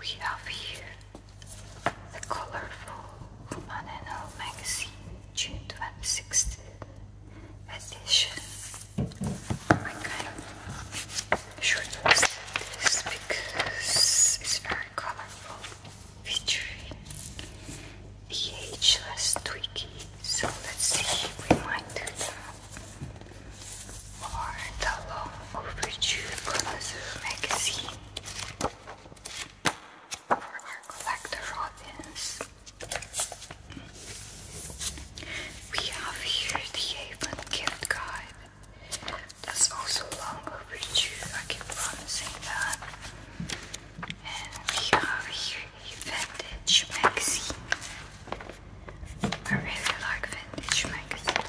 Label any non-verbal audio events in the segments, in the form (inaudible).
We have here the colorful Human Magazine, June 26th edition. I kind of should list this because it's very colorful, featuring the ageless Twiggy. So let's see, we might do or the long overdue Bonazoo magazine for our collector audience. We have here the Avon gift guide. That's also long overdue, I keep promising that. And we have here a vintage magazine. I really like vintage magazines.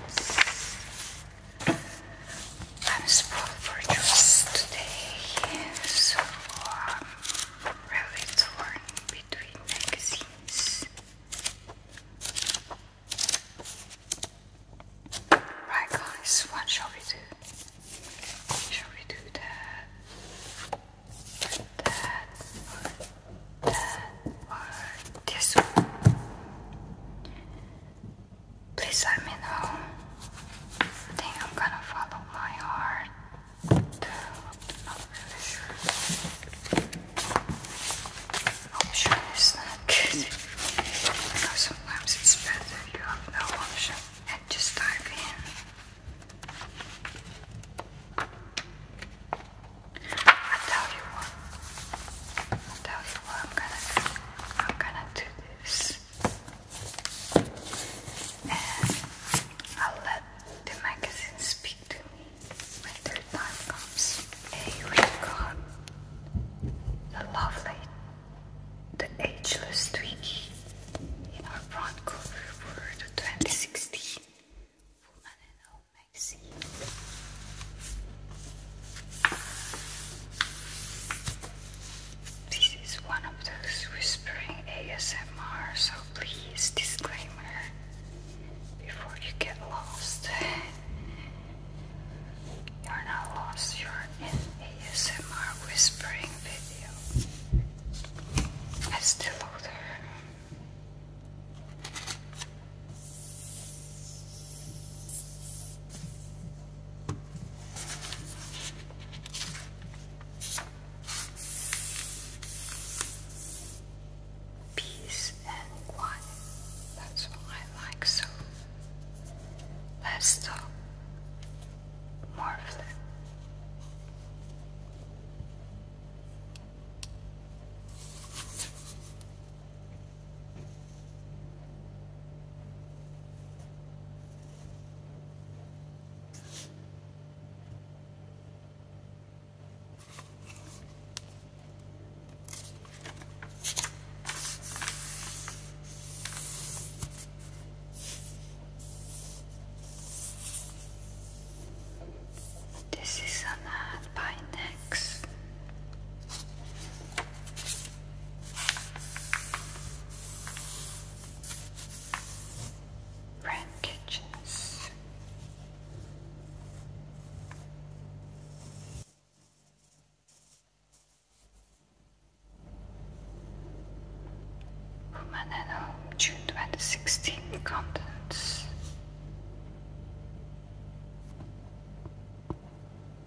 I'm spoiled for choice today, so I'm really torn between magazines. Right, guys, what shall we do? Shall we do that? That that or this one? Please let me know. I think I'm gonna follow my heart. I'm not really sure. Option is not good. sometimes it's better you have no option and just dive in. I tell you what. I'm gonna, I'm gonna do this, and I'll let the magazine speak to me when their time comes. Hey, we've got the lovely, the ageless Twiggy in our front cover for the 2016 Woman in All magazine. This is one of those whispering ASMR, so please, disclaimer before you get lost. (laughs) You're not lost, you're in ASMR whispering video. As the loader. Peace and quiet. That's what I like so. Let's talk. Marvelous. This is an ad by next. Ram Kitchens. Woman at Home, June 2016, contents.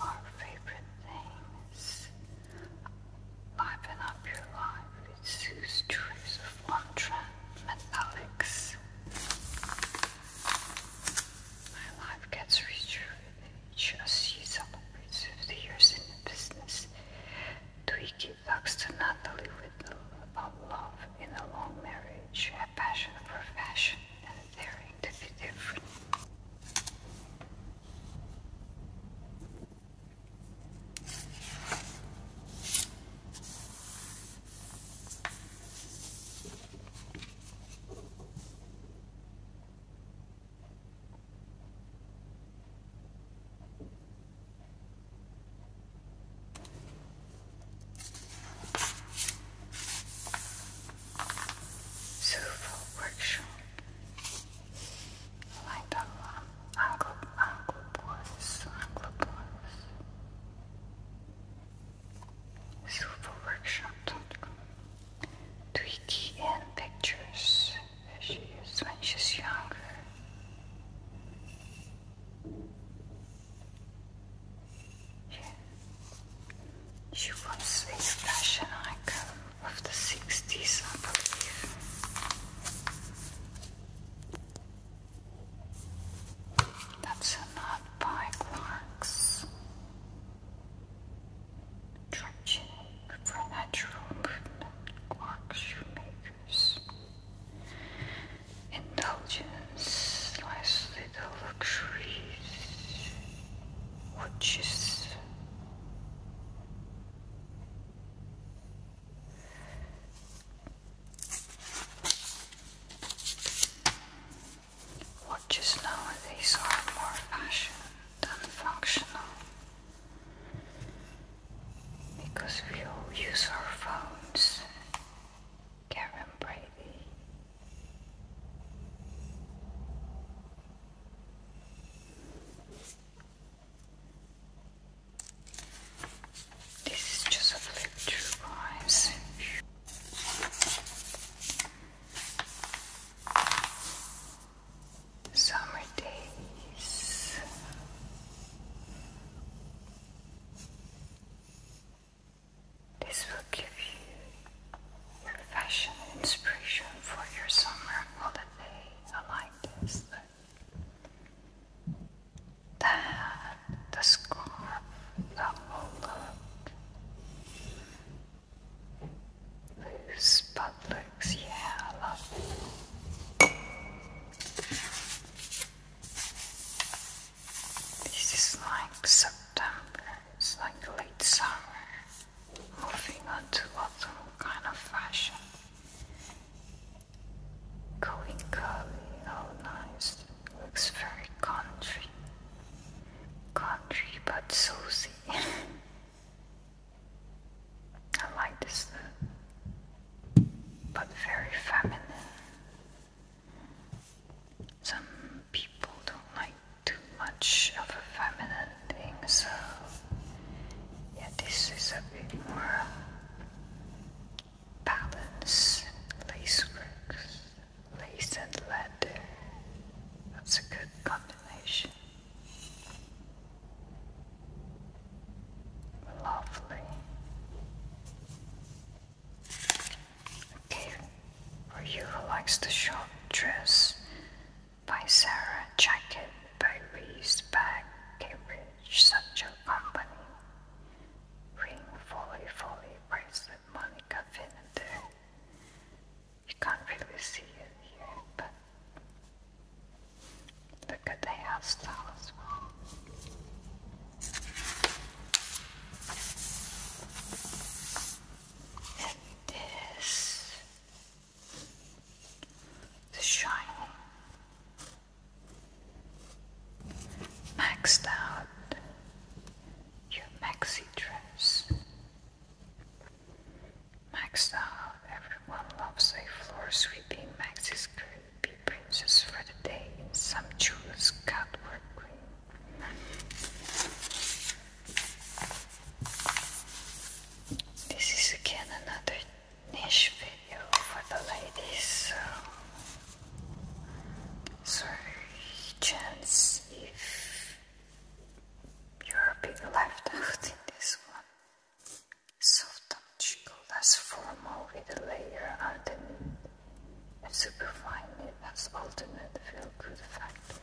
Our favorite things. Liven up your life with Sue's choice of Montran and Alex. My life gets richer with each as she celebrates 50 years in the business. Twiggy talks to Natalie Whittle about love in a long marriage, a passion for fashion necessary to be different. Suvo workshop. Like the Anglo Anglo boys, Anglo boys. Silverworkshop.com Tweaky and pictures as she is younger. She was a fashion icon of the 60s, I believe. That's a by Clark's. Traction for movement, Clark's shoemakers indulgence, nice little luxuries, watches. Watches nowadays are more fashion than functional because we all use our phones Karen Brady. This is just a flip through, guys. Summer days. This will give you fashion inspiration for your summer holiday. I like this look. That, the scarf, the whole Loose butt looks, yeah, this is like September, it's like late summer, moving on to autumn kind of fashion. Going curly, oh nice, looks very country. Country but Susie. (laughs) I like this look, but very feminine. Some people don't like too much of a feminine thing, so yeah, this is a bit more balance, lace work, lace and leather. That's a good combination. Lovely. Okay, for you who likes the short dress by Sarah Jacket by Reese Bag Cambridge such a company. Ring Folly Folly bracelet Monica Finneter. You can't really see it here, but look at the hairstyle as well. It is the shining, maxed out your maxi dress. Maxed out, everyone loves a floor sweeping maxi skirt, be princess for the day some jewel's cut work green this is again another niche video for the ladies. So, chance if you're being left out in this one. Soft touch, that's formal with a layer underneath a superfine as ultimate feel-good factor.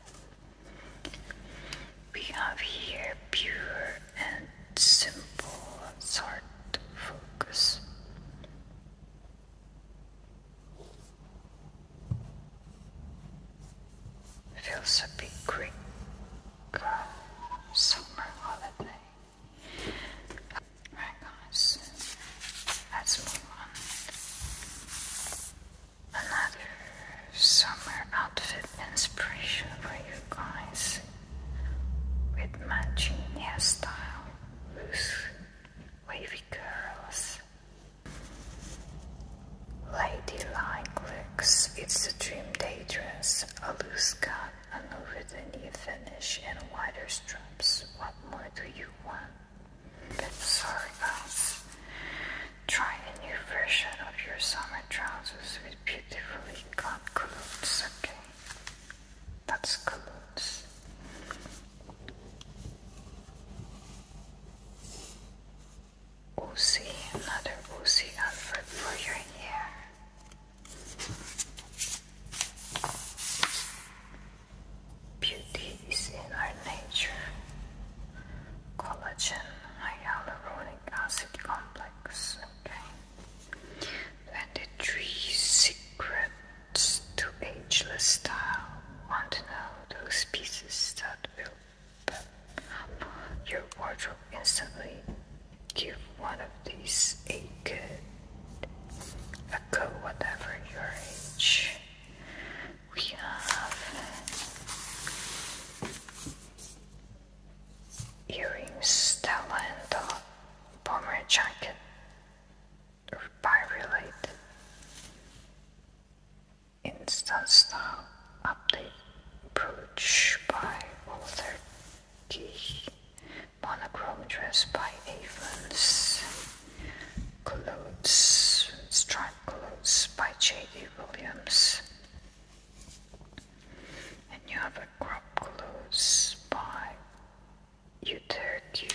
We have here pure and simple sort of focus. Feels a big Greek uh, summer holiday. Right guys, Let's move on. Another summer outfit inspiration for you guys with matching hairstyle with wavy curls. Ladylike looks, it's a dream day dress, a loose cut, an over the knee finish, and wider straps. What more do you want? But sorry guys. Try a new version of your summer trousers with beautifully cut clothes, okay? That's clothes. Uzi, another Uzi outfit for your hair. Beauty is in our nature. Collagen hyaluronic acid complex. Okay. When the tree secrets to ageless style want to know those pieces that will pop your wardrobe instantly, give one of these a good a go whatever your age we have earrings, Stella and the bomber jacket, or by related instant style update brooch by Walter Key, monochrome dress by Avons. Clothes, Striped Clothes by J.D. Williams. you have a crop clothes by Utertu.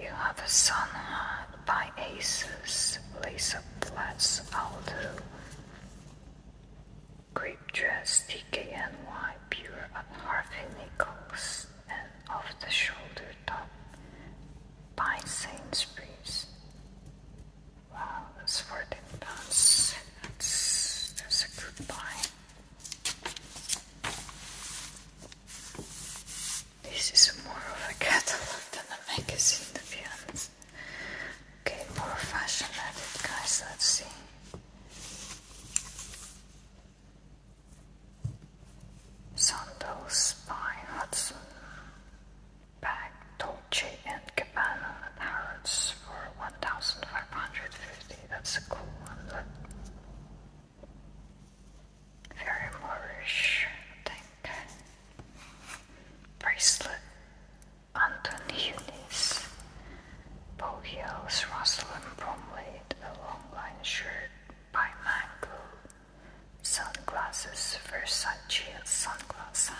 You have a sun hat by Aces, lace up flats Aldo, grape dress TKNY. pure at Harvey Nichols. Books and Off the Shoulder Top by Sainsbury's. Wow, that's fourteen pounds. That's that's a good buy. This is more of a catalog than a magazine, The be honest. Okay, more fashion at it, guys. Let's see. Sandals by Hudson, bagged Dolce & Gabbana and Harrods for 1550 That's a cool one. Very Moorish, I think. Bracelet, Anton Eunice, Bow Heels, Rosalind Bromley, a long line shirt by Mango, Sunglasses, Versace sunglasses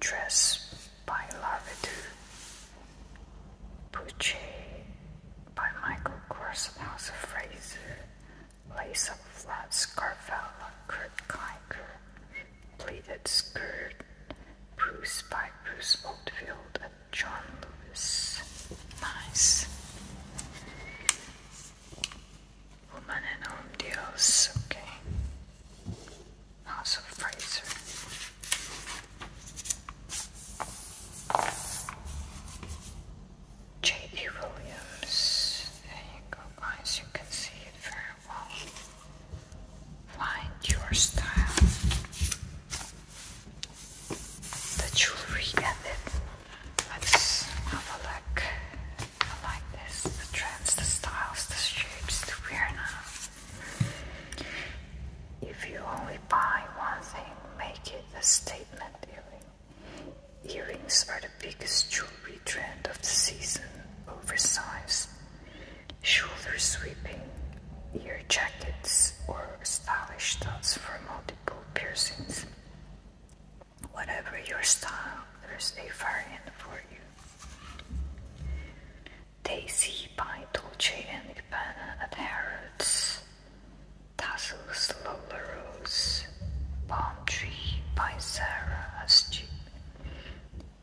Dress by Larvedou. Pucci by Michael Kors and House of Fraser. Lace up flats, Carvella, Kurt Kiker. Pleated skirt, Bruce by Bruce Oldfield and John Lewis. Nice. Woman and Home Deals, okay. Also Fraser. J.D. Williams. There you go, guys. You can see it very well. Find your style the jewelry and then let's have a look. I like this, the trends, the styles, the shapes to wear If you only buy one thing, make it a statement earring. Earrings are the biggest jewelry trend of the season. Oversized, shoulder sweeping, ear jackets, or stylish studs for multiple piercings. Whatever your style, there's a variant for you. Daisy by Dolce banana, Gabbana Tassel's Lola Palm Tree by Sarah Astu.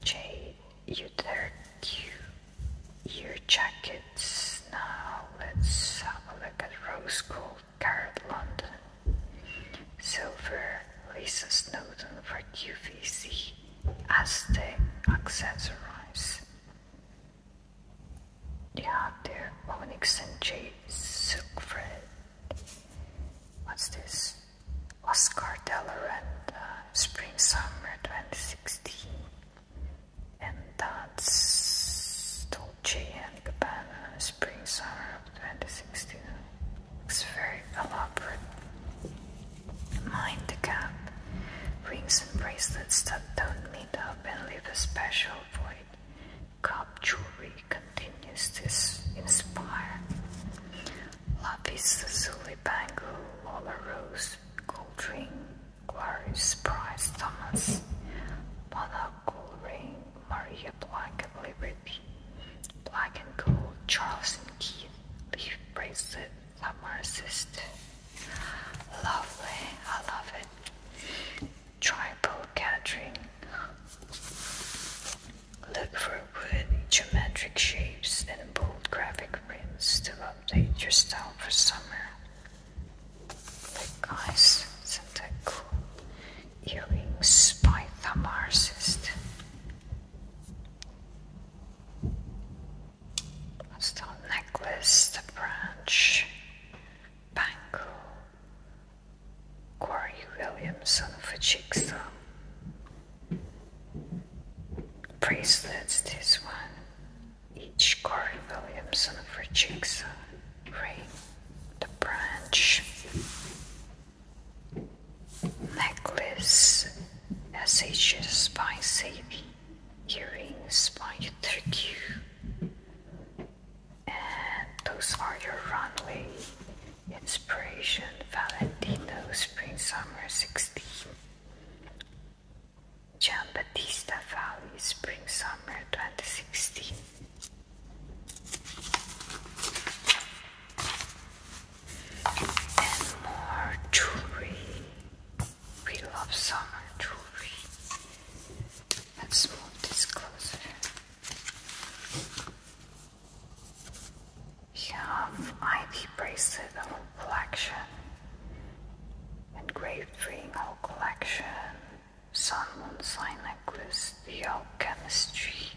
J. Uterq. Ear Jackets. Now let's have a look at Rose Gold Garrett London. Silver, Lisa Snowden for QVC as they accessorize. You have there Onyx and J. Silkfred. What's this? Oscar Delorand, uh, Spring Summer 2016. And that's J.N. Cabana, Spring Summer 2016. Looks very elaborate. Mind the gap. Rings and bracelets that don't meet up and leave a special void. Cup jewelry continues to inspire. Lapis zulu bangle, Lola Rose, Gold Ring, Glorious Prize Thomas, Monocle Ring, Maria Black and Liberty, Black and Gold, Charles and Keith, Leaf Bracelet, assist. Lovely, I love it. Tribal Gathering. Look for wood, geometric shapes, and bold graphic prints to update your style for summer. Guys, is Thick eyes, syntactical earrings by thumb artist. A stone necklace, the branch, bangle, Corey Williamson for Chicksaw. Bracelets, this one, each Corey Williamson for Chicksaw, ring the branch necklace SHS by Savy earrings by Turkey and those are your runway inspiration Valentino spring summer 16 Jean Batista Valley spring summer 2016 and more jewelry. We love summer jewelry. Let's move this have ivy bracelet collection, engraved ring collection, Sun Moonside necklace, the tree,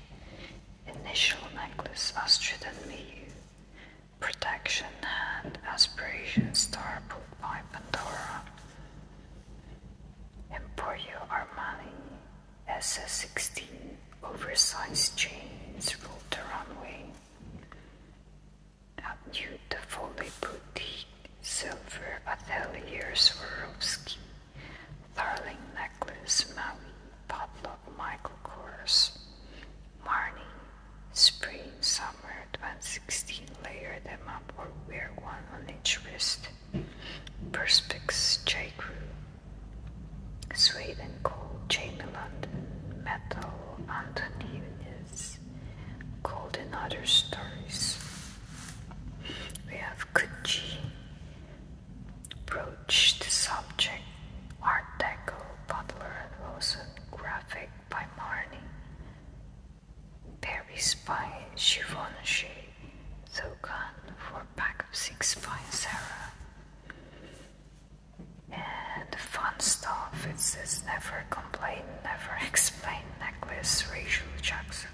initial necklace, Astrid and me, protection hand, aspiration star put by Pandora, Emporio Armani, SS16, oversized chains ruled the runway. At the Foley Boutique, silver atheliers Swarovski, Darling necklace Maui, Pablo Michael Kors, Marnie, Spring Summer 2016 layer them up or wear one on each wrist, Perspex J. Crew, Sweden Cole, Jamie London, Metal, Anthony Eunice, Golden Other Stories. We have Gucci, Broach, The Subject, Art Deco, Butler and Rosen, Graphic by Marnie, Paris by Givenchy, Zogan for Pack of Six by Sarah. And the fun stuff, it says never complain, never (laughs) explain necklace, Rachel Jackson.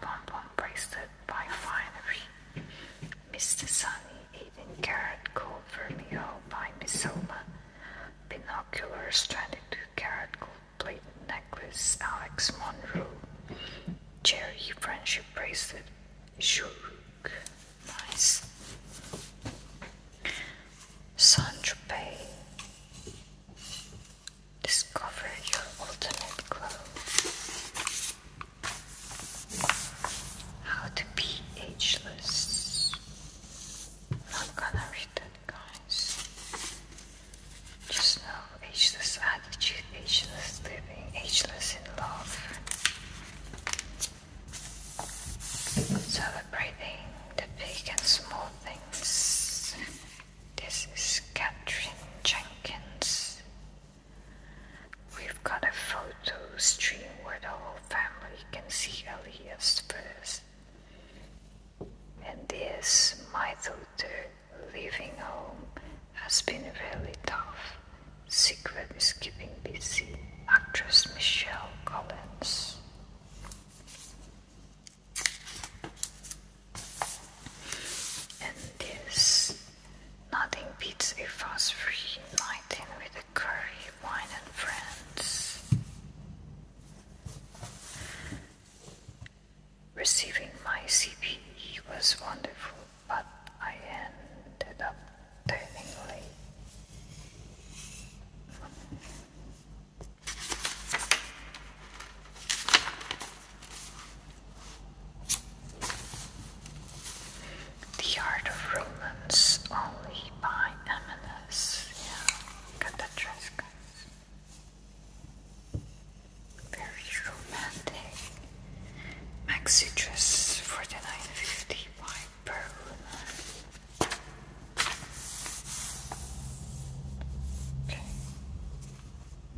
Bonbon bracelet by Finery. Mr. Sunny, Aiden Carrot, Gold Vermeil by Mizoma. Binocular Stranded to Carat Gold Plated Necklace, Alex Monroe. Cherry Friendship Bracelet, Shuruk. Nice. Saint Tropez. Discover your ultimate glow. How to be ageless. i gonna read that, guys. Just know ageless attitude, ageless living, ageless in love. Celebrating the big and small things. This is Katherine Jenkins. We've got a photo stream where the whole family can see Elias first. And this, my daughter, leaving home has been really tough. Secret is keeping busy. Actress Michelle Collins. And this nothing beats a fast free night with a curry, wine and friends. Receiving my CP was wonderful, but I ended up turning late. The Art of Romance only by m Yeah, got that dress, guys. Very romantic. Maxi dress, forty nine fifty by Perlman.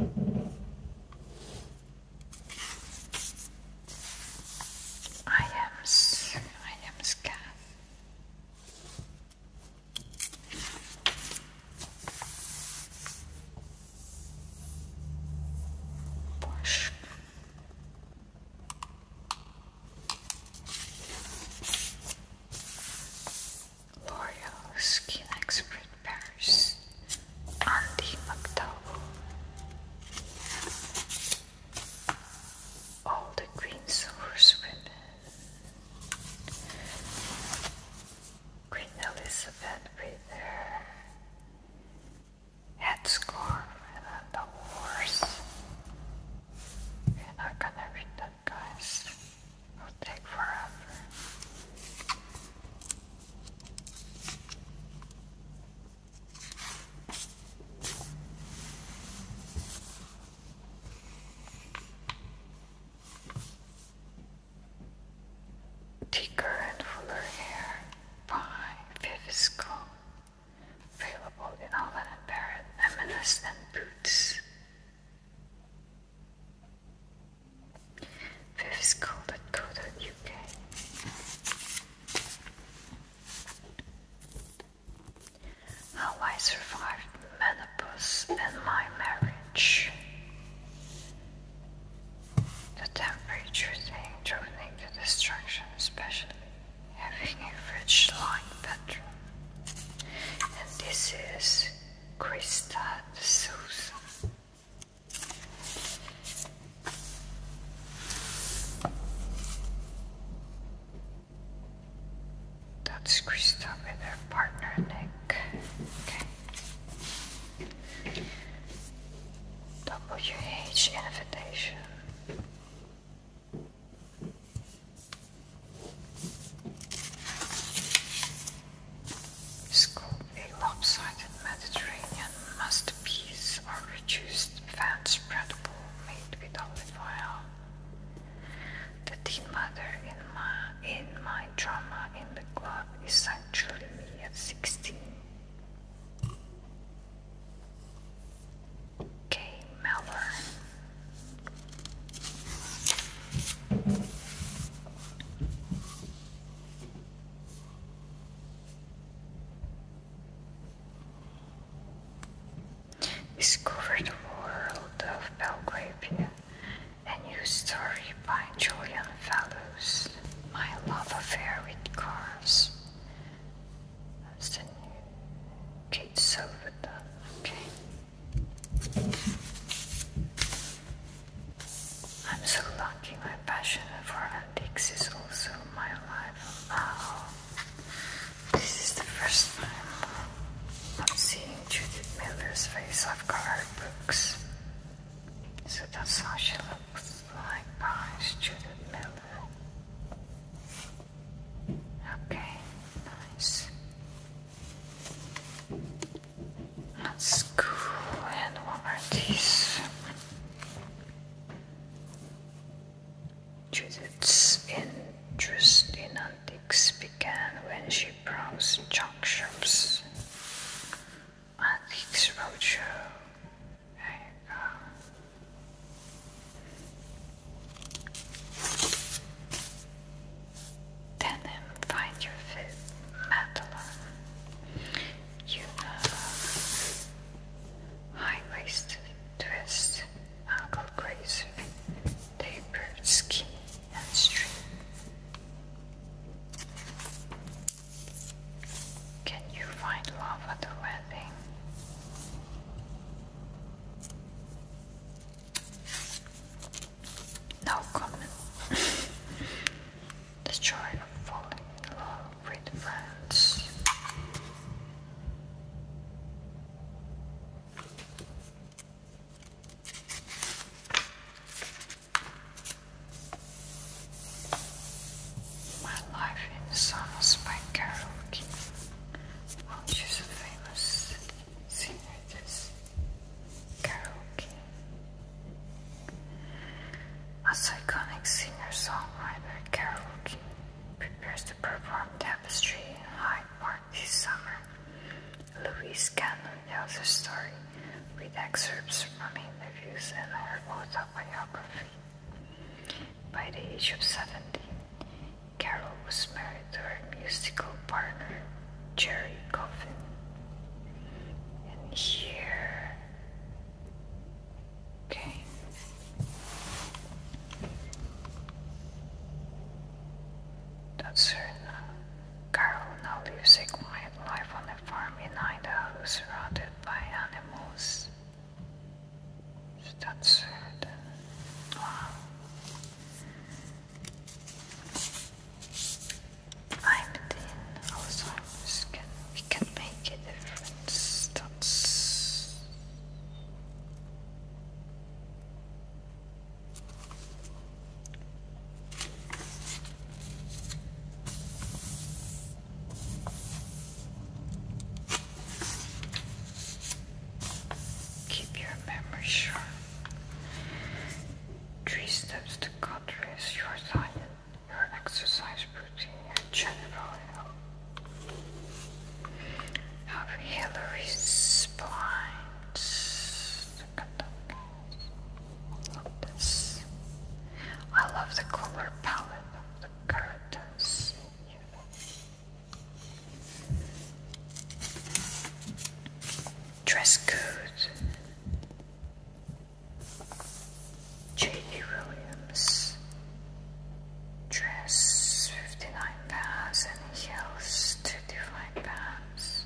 Okay. I am I am scared. Push. L'Oreal Skin Expert Paris Andy McDowell All the Queen Silver's Women Queen Elizabeth with her headscarf and the horse. We're gonna read that, guys. It'll Thicker and fuller hair by Vivisco. Available in Holland and Barrett, m Boots fiveschool.co.uk. How I survived menopause and my marriage. The temperature thing ruining the destruction, especially having a rich line bedroom. And this is Krista Souza. That's Krista with her partner Nick. WH invitation is called a lopsided Mediterranean masterpiece are reduced fan spreadable, made with olive oil. The teen mother in my, in my drama in the club is actually me at 16. K. Melbourne. Discover the world of Belgravia, a new story by Julian Fellows. My love affair with cars. That's Okay. I'm so lucky my passion for antiques is also my life now. This is the first time I'm seeing Judith Miller's face. I've got her books. So that's how she looks like guys, Judith Miller. Okay, nice. That's cool. And what are these? Judith's interest in antiques began when she browsed junk shops. Antiques Roadshow. There you go. Denim find your fit metal. You know, high waisted twist, ankle grazer, tapered skin, and string. Can you find love at the wedding? No comment. (laughs) the joy of falling in love with friends. My Life in Summers by Carol King. Well, she's a famous singer, this Carol King. As iconic singer-songwriter Carol King prepares to perform Tapestry in Hyde Park this summer, Louise Cannon tells her story with excerpts from interviews and her autobiography. By the age of 17, Carol was married to her musical partner, Jerry Coffin. And here that's That Carol uh, now lives a quiet life on a farm in Idaho surrounded by animals. That soon. I'm thin, Alzheimer's oh, can we can make a difference. Keep your memory sharp. Three steps to God your silence your exercise routine and general health. Of Hillary's blinds. I love the color palette of the curtains. Dress code. J.D. Williams dress 59 pounds and heels 35 pounds.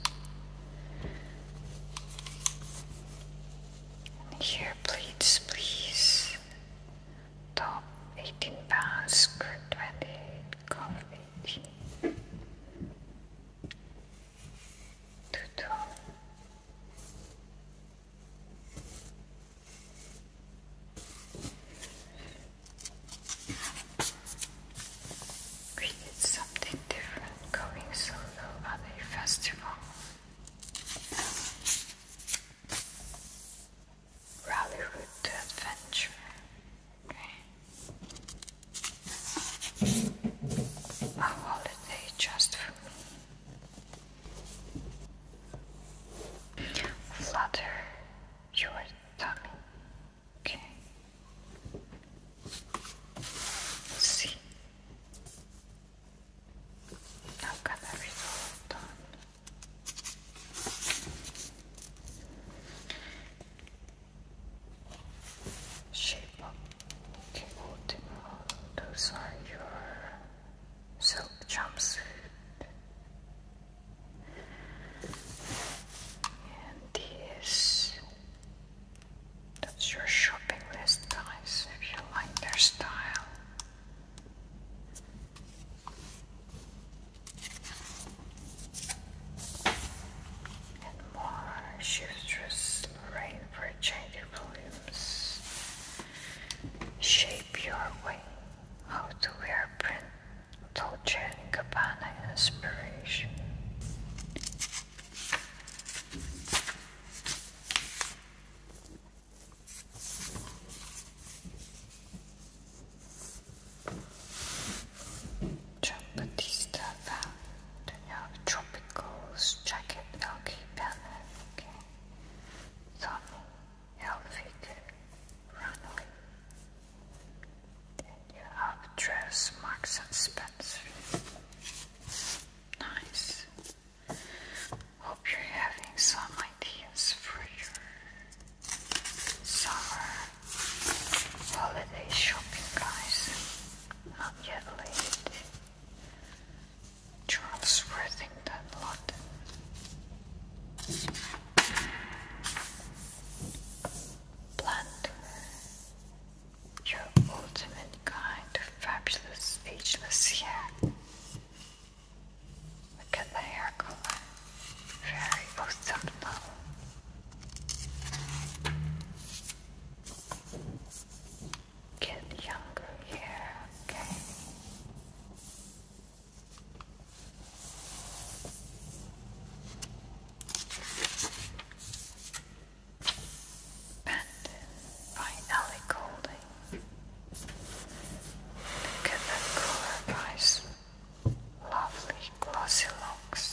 And here pleats, please. Top 18 pounds, skirt twenty cuff 18. Tutu. We need something different going solo at a festival Rally Route Adventure. A holiday just for me. Flutter your tummy. Okay. see. I've got everything done. Shape up Timotimo, those are your silk jumpsuit. And this, that's your shopping list, guys, if you like their style. And more shoes, just rain for balloons. Shape your wing. How to wear print. Dolce & Gabbana inspiration. John Batista Tropicals, Jacket, LK Banner, okay. Tommy, Helvig, Runway. Then you have Dress, Marks and Spencer. Nice. Hope you're having some ideas for your summer holiday shopping, guys. Not yet late. Charles that London. Blunder. Your ultimate kind of fabulous, ageless hair. Look at the hair color. Very orthogonal get younger here, okay? Bandit by Ellie Golding. Look at that color, Lovely glossy locks.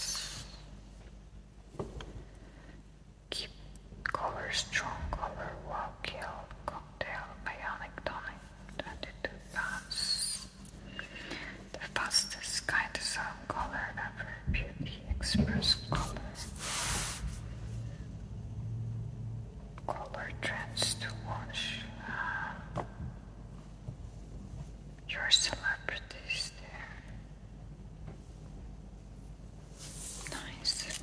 Keep cover strong cover wow kill cocktail bionic tonic 22 pounds. The fastest kind of sound color ever beauty express color. Color trends to watch. Um, your celebrities there. Nice.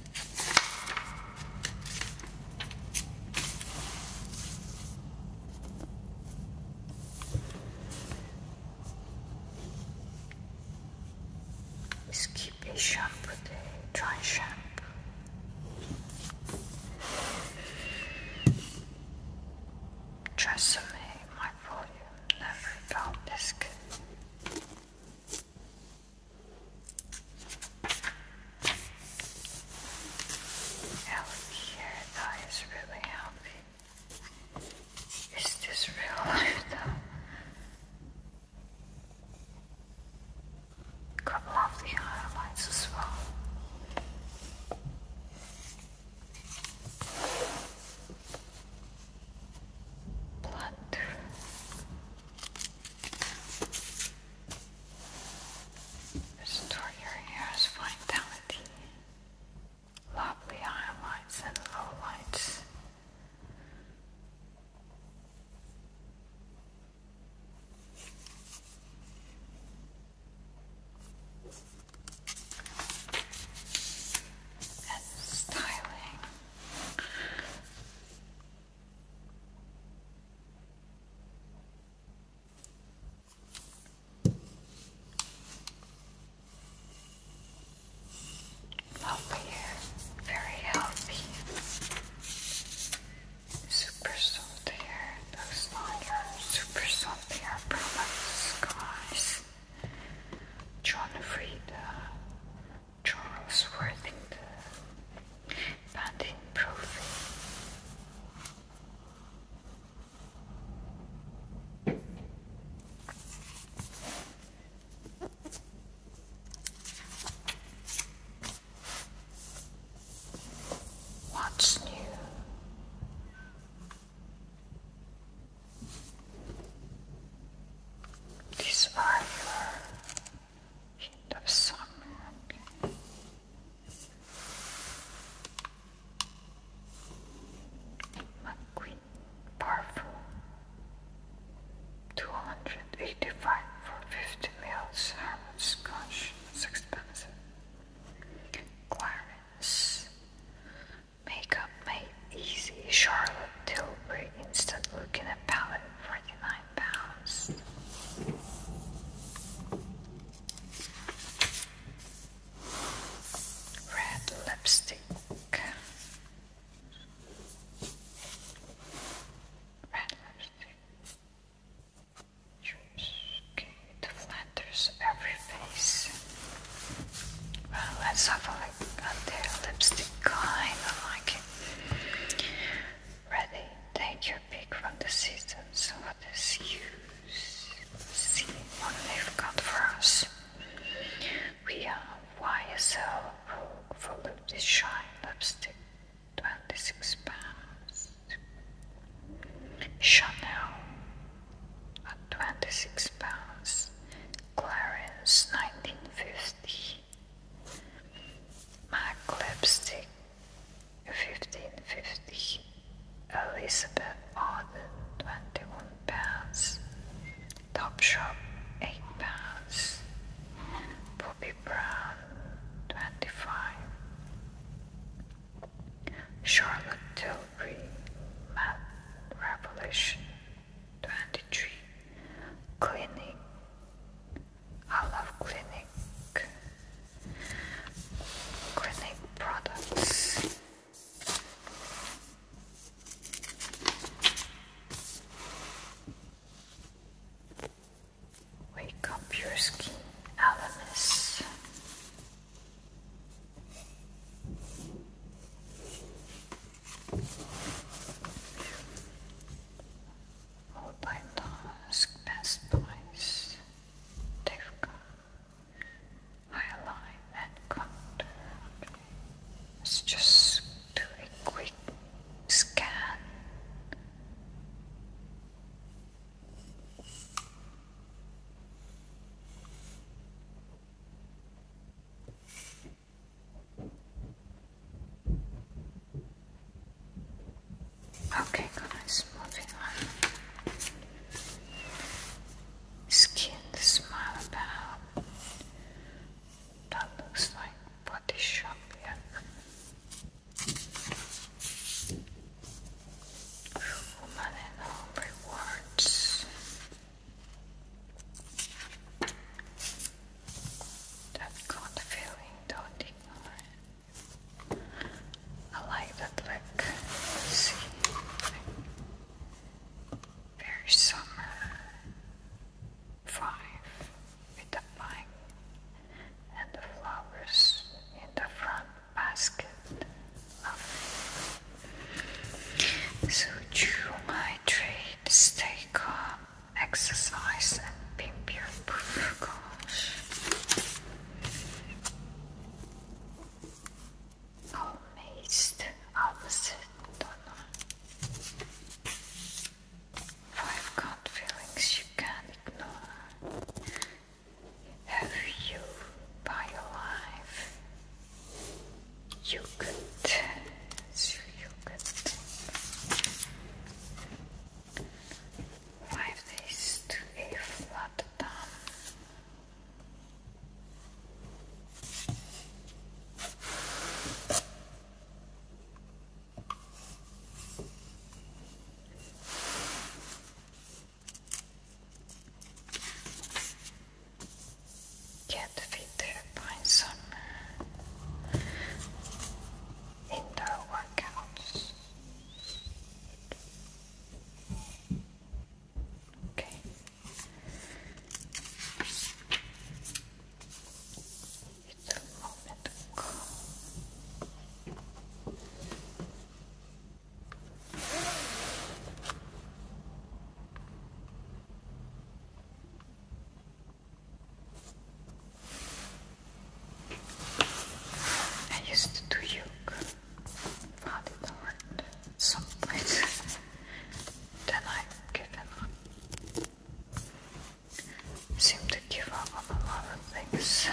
Let's keep a shampoo, a dry shampoo. Trust me, my volume never felt this Help here, that is really healthy. Is this real life though? Got lovely highlights as well. Blood. Restore your hair's vitality. Lovely highlights and lowlights. And styling. Lovely hair, very healthy, super soft hair. Those long hair, super soft hair from the skies. John the? Charles Worthington, Bandit Brophy. What's new? These are end of summer. McQueen Parfum, 285 for 50 mils, Harwood Scotch, it's expensive. Makeup Made Easy, Charlotte Tilbury Instant Look in Palette for Red lipstick. Red lipstick. it flatters every face. Well, let's have a I got their lipstick kind of like it. Ready, take your pick from the seasons. What is use? See what they've got for us. We have YSL Vogue Volume this Shine Lipstick, 26 pounds. Chanel at 26 pounds. Clarence 1950. Mark Lipstick, 1550. Elizabeth Arden, 21 pounds. Topshop, 8 pounds. Bobby Brown, 25. Charlotte Tilbury, Mad Revolution, 23. Clinic, I love clinic, Clinique products. Wake up your skin, Alanis. All by mask, best buys, Divka, Highline and Counter. Let's just do a quick scan. Okay, guys, moving on. Skin the about. That looks like body shop, yeah. Woman and home rewards. I've don't ignore it. I like that look. See, very summer vibe with the pine and the flowers in the front basket. Lovely. So chew my trade, stay calm exercise and pimp your gosh. Almost opposite, don't know. Five gut feelings you can't ignore. Have you by your life? You could it's real Five days to a flat down. Get a bit some their workouts. Okay. It's a moment of. I used to do yoga for the Lord some point. then I've up. seem to give up on a lot of things.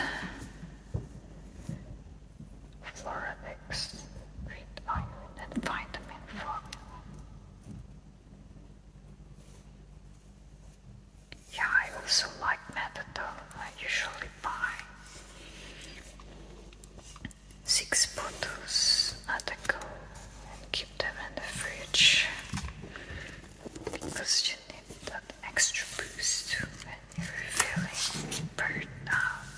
Floravix, great iron and vitamin formula. Yeah, I also like Metadol, I usually buy six bottles at a go and keep them in the fridge because you need that extra boost when you're feeling burned out.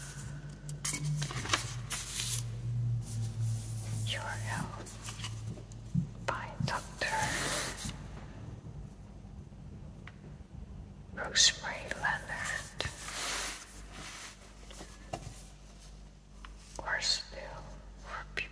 Your health by Dr. Rosemary Leonard. Or still for people.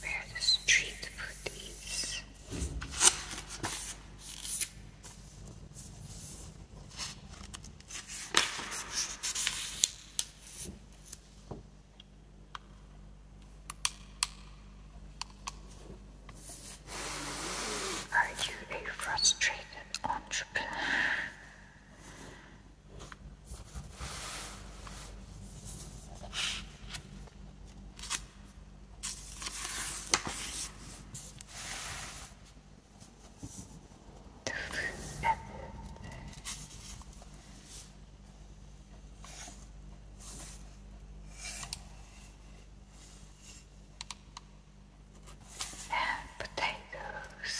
Where the street to put these? Are you a frustrated entrepreneur? and potatoes.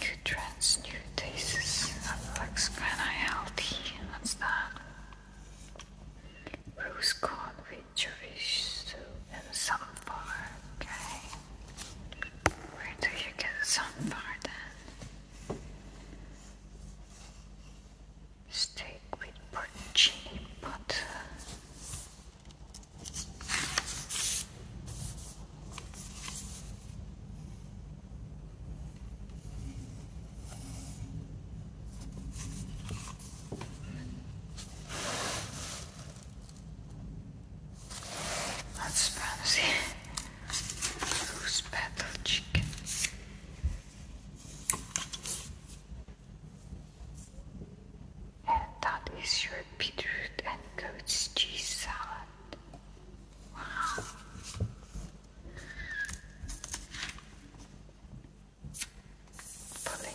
Nutrients, new tastes. That looks kinda healthy. What's that? Roast corn with Jewish soup and sunflower. Okay. Where do you get sunflower then? Steak with porcini pot. That's promising. Loose battle chickens, And that is your beetroot and goat's cheese salad. Wow. Pauline.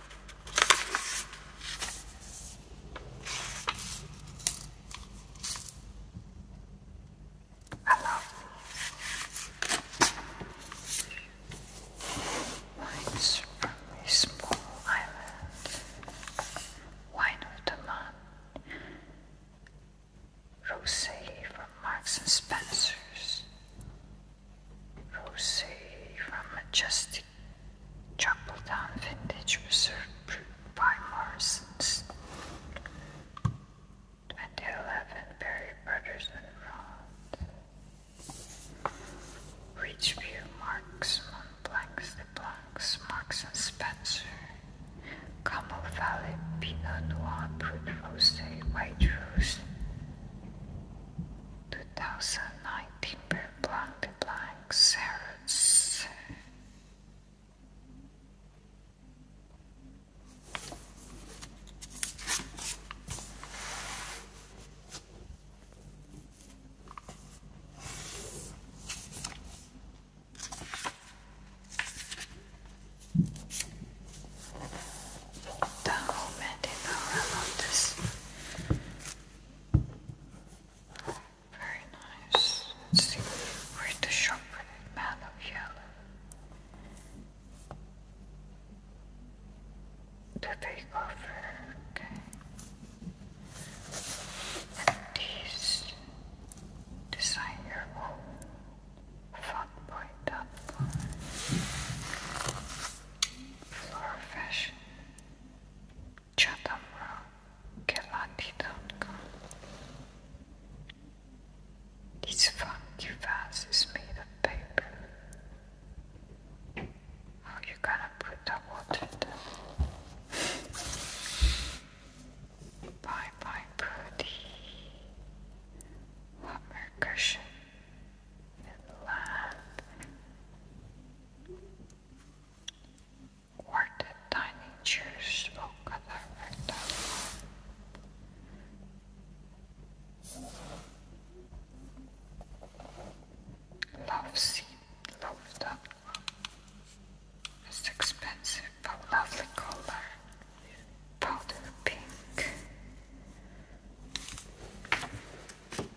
Hello. Lines from small island. Wine of the from Marks and Spencer's. Rose from Majestic Chapeldown Vintage Reserve Brewed by Morrison's 2011 Berry Brothers and Rod Ridgeview Marks Montblancs the Blancs Marks and Spencer Camel Valley Pinot Noir Brut Rose White Rose 2019 blank blank zeros. Don't the realm very nice. Let's see. Where's the sharpened man of yellow? The takeover, okay. And these design your own funboy.com ChathamraKelandi.com This funky vase is made of paper. How you gonna put the water in Bye bye Prudy. Lumber cushion. And lamp. Or the tiny Jews spoke dialect. Love scene, love up. It's expensive but lovely color. Powder pink.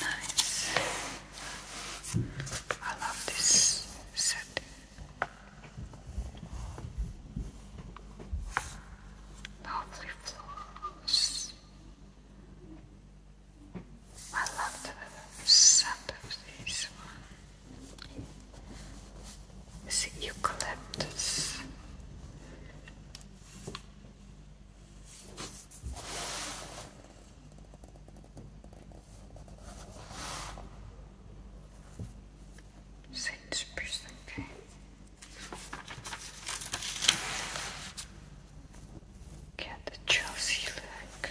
Nice. I love this set. Lovely floors. I love the scent of these ones. It's eucalyptus. Six percent. Okay. Get the Chelsea look.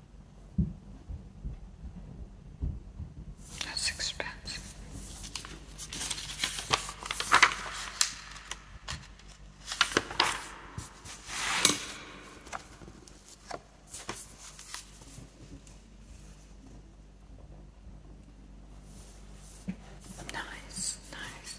That's expensive. Nice, nice.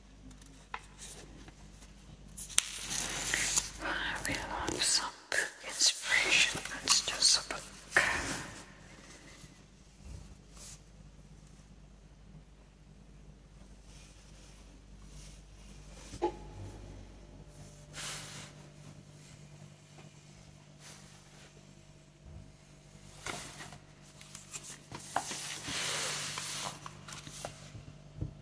I will have some inspiration. let just a book.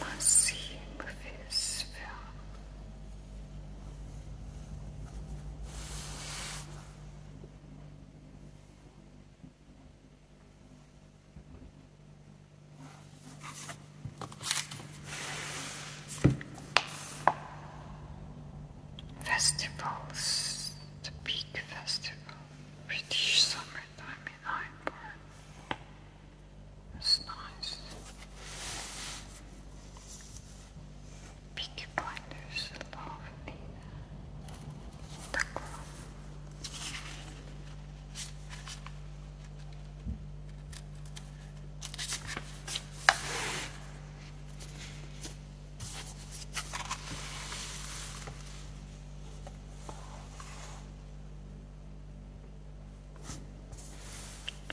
massives Festivals, the Peak Festival, British Summertime in Hyde Park. It's nice. Peaky Blinders, lovely. Tuck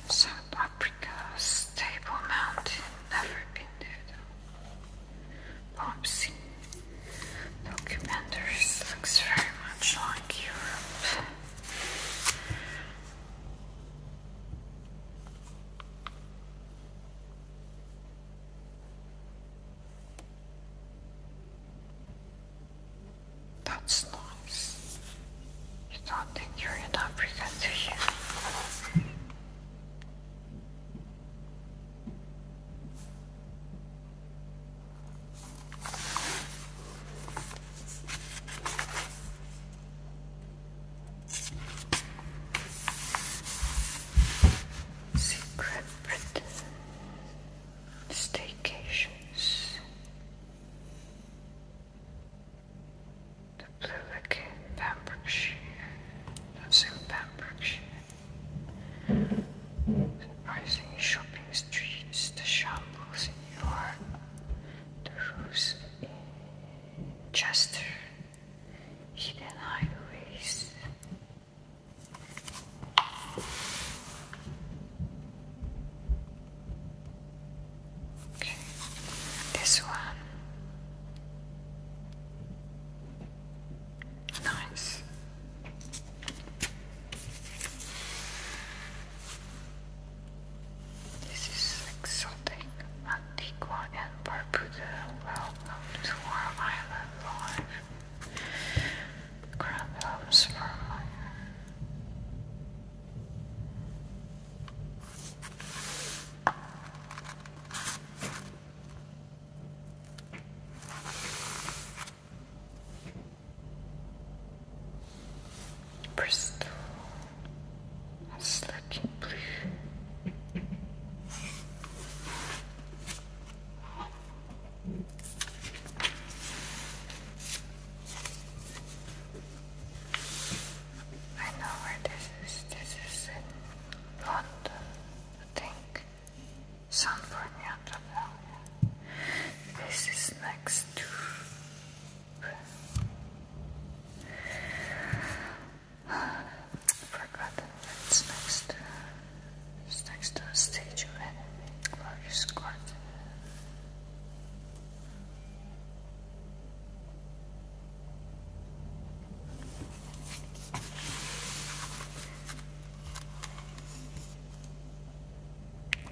South Africa, Stable Mountain, never been there though. Popsy oh, documentaries looks very much like Europe. That's nice. You don't think you're in Africa, do you? Secret Staycations the blue Plymouth in Pembrokeshire. That's in Pembrokeshire. the rising shopping streets, the shambles in York, the roofs in Chester, hidden highways. Okay, this one. Nice. This is exotic, Antigua and Barbuda, well known to our island life crap comes from. Bristol is looking blue. I know where this is. This is in London, I think. Somewhere near the This is next to. Forgotten it's next to. It's next to a statue of enemy glorious God.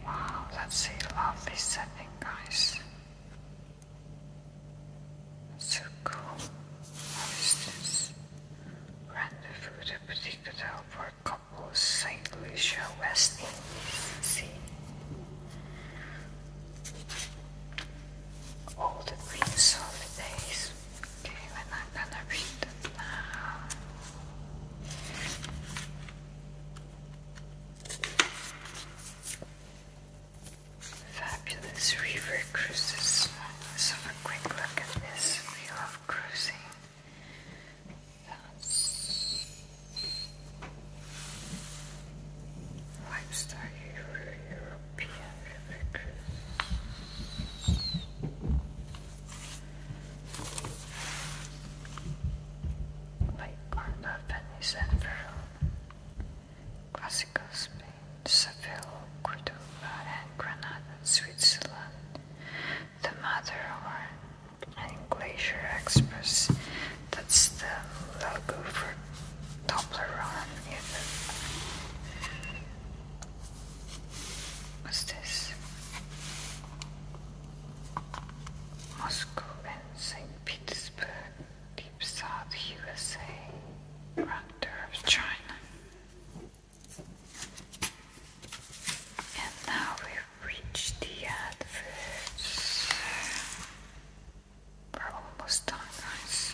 Wow, that's a lovely setting, guys. So cool. What is this? Rendezvous, the particular for Campos, St. Lucia, West Indies Sea. All the Queen's holidays. Okay, we're not gonna read it now. Fabulous river cruises. let a quick look at this. We love cruising. Lifestyle European Living. Lake Garner, Venice, and Verona. Classical Spain, Seville, Cordoba, and Granada, Switzerland the Matterhorn and Glacier Express. That's the logo for Toblerone. What's this? Moscow and St. Petersburg, Deep South USA, Raptor of China. And now we Reach the adverts. We're almost done, guys.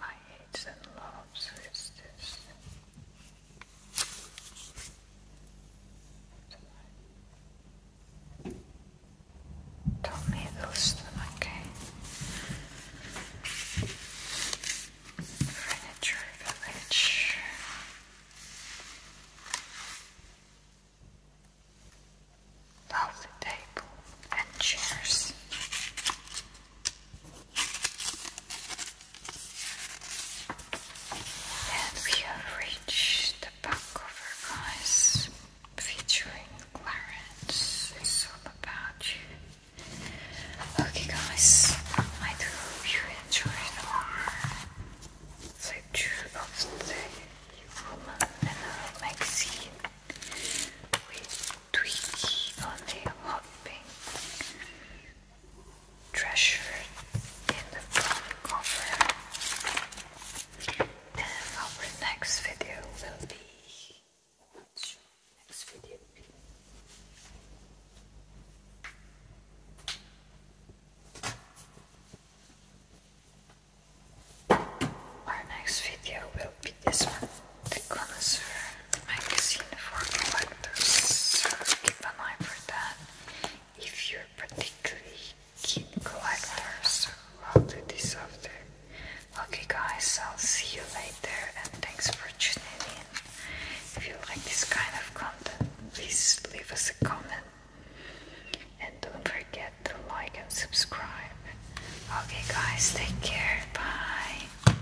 my hates and loves is this. Tell me those then, Furniture Village. Lovely table and chairs. And we have reached the back cover, guys, featuring Clarence. It's all about you. Okay, guys, I do hope you enjoyed our picture of the woman in her magazine with Twinkie on the hot Treasure in the front cover. And our next video will be. Our next video will be this one, the connoisseur magazine for collectors, keep an eye for that. If you're particularly keen collectors, I'll do this after. Okay, guys, I'll see you later, and thanks for tuning in. If you like this kind of content, please leave us a comment. And don't forget to like and subscribe. Okay, guys, take care. Bye.